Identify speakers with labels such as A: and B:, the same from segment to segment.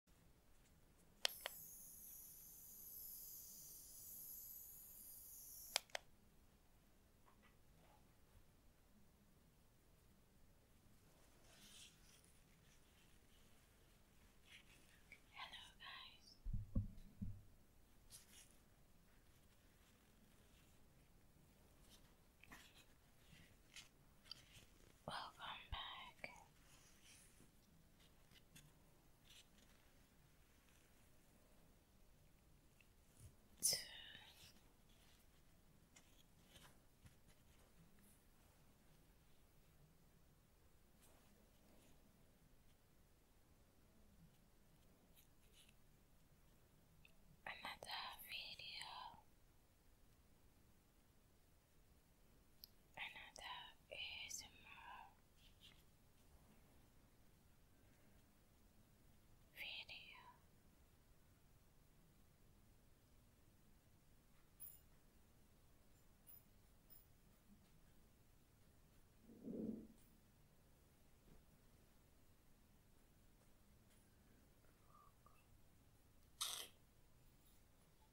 A: Hello, guys. Welcome back another video another ASMR video on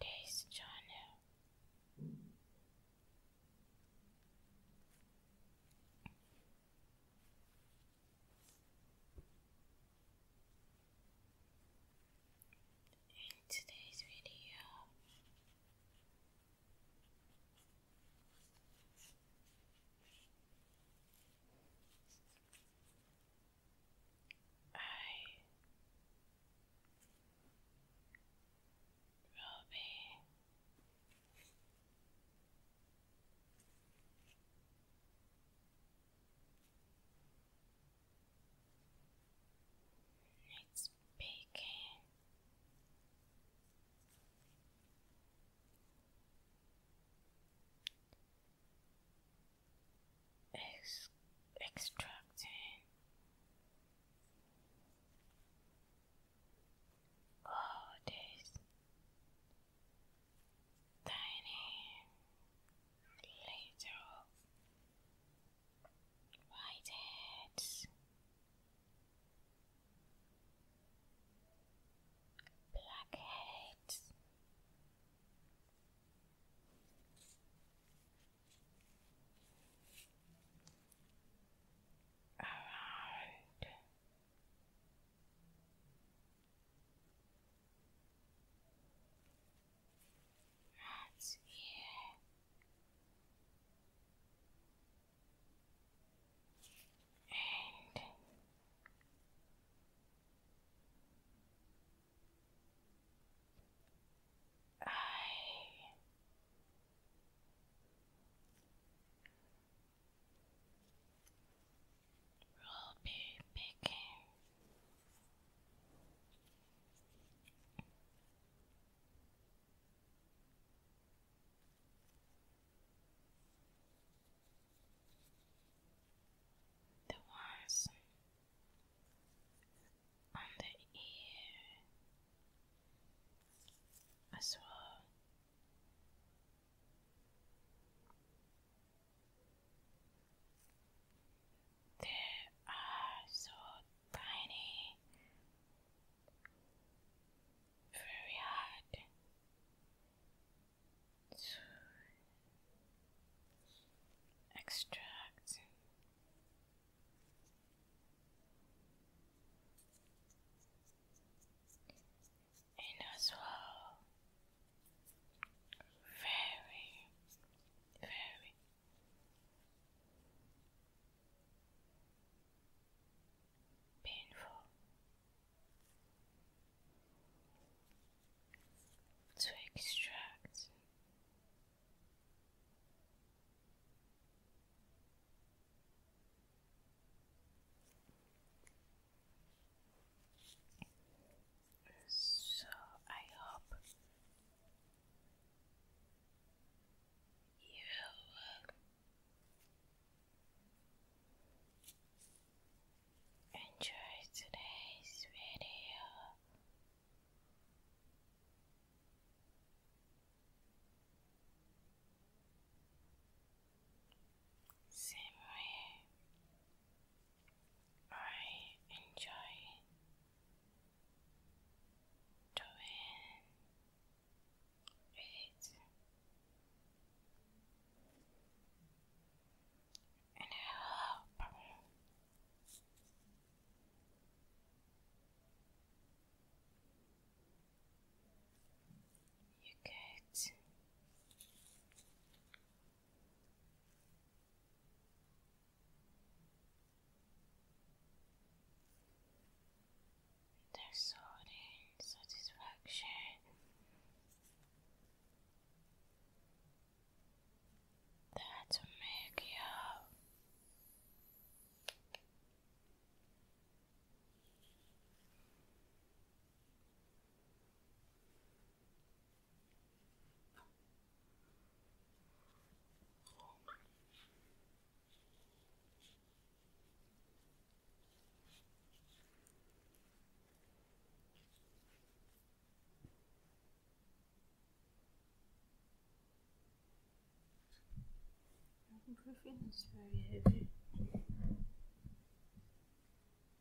A: this channel. In today's video, I will be it's baking. Ex extracting. Oh, this tiny little white hats, Around that's it, And I Robbie Picking the ones on the ear as well. They are so tiny, very hard to extract and as well very, very painful to extract. So I hope you enjoy today's video. Same way I enjoy doing it, and I hope you get there's satisfaction. That's what make you. Ibuprofen is very heavy.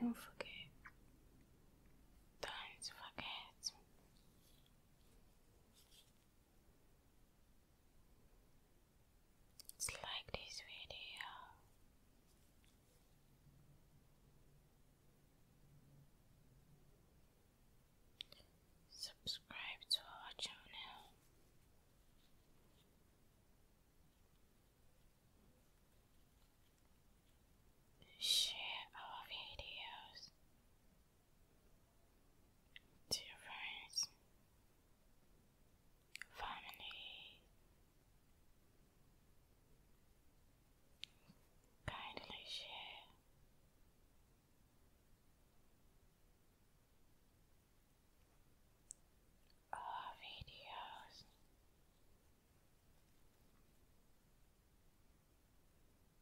A: Don't forget. Don't forget like this video. Subscribe to our channel. Share our videos to your friends, family, kindly share. Our videos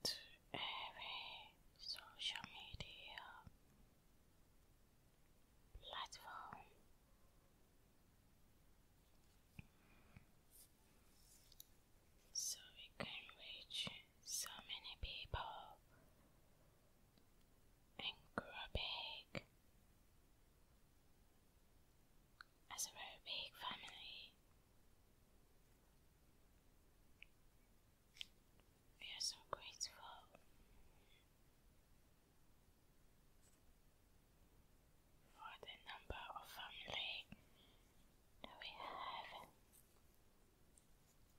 A: to every social media platform. So we can reach so many people and grow big as a big family. We are so grateful for the number of family that we have.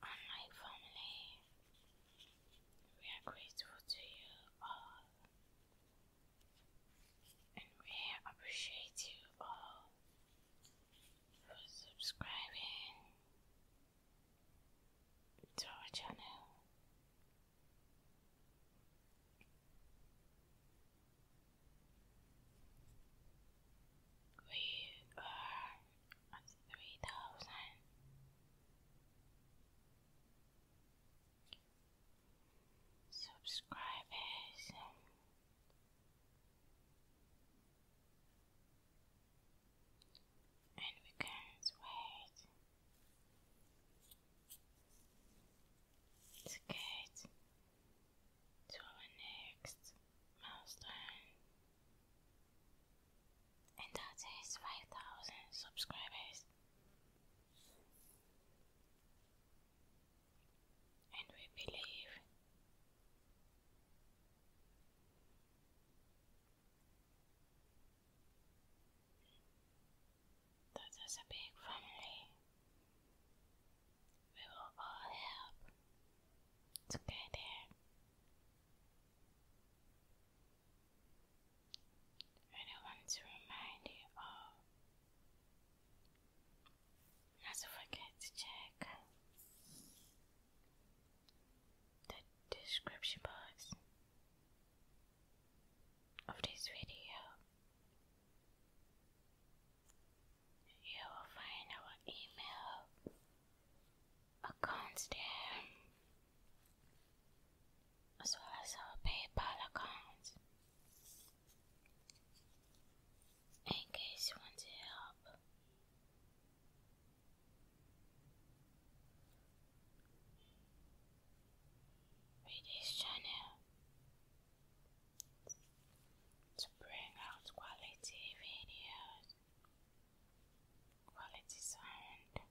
A: Unlike family, we are grateful to you all and we appreciate you all for subscribing to our channel. We are at three thousand. Subscribers, and we can't wait to get to our next milestone, and that is 5,000 subscribers and we believe that as a big family we will all help together and I want to remind you all not forget to check the description box of this video. You will find our email accounts there, as well as our PayPal account in case you want to help. this channel to bring out quality videos, quality sound.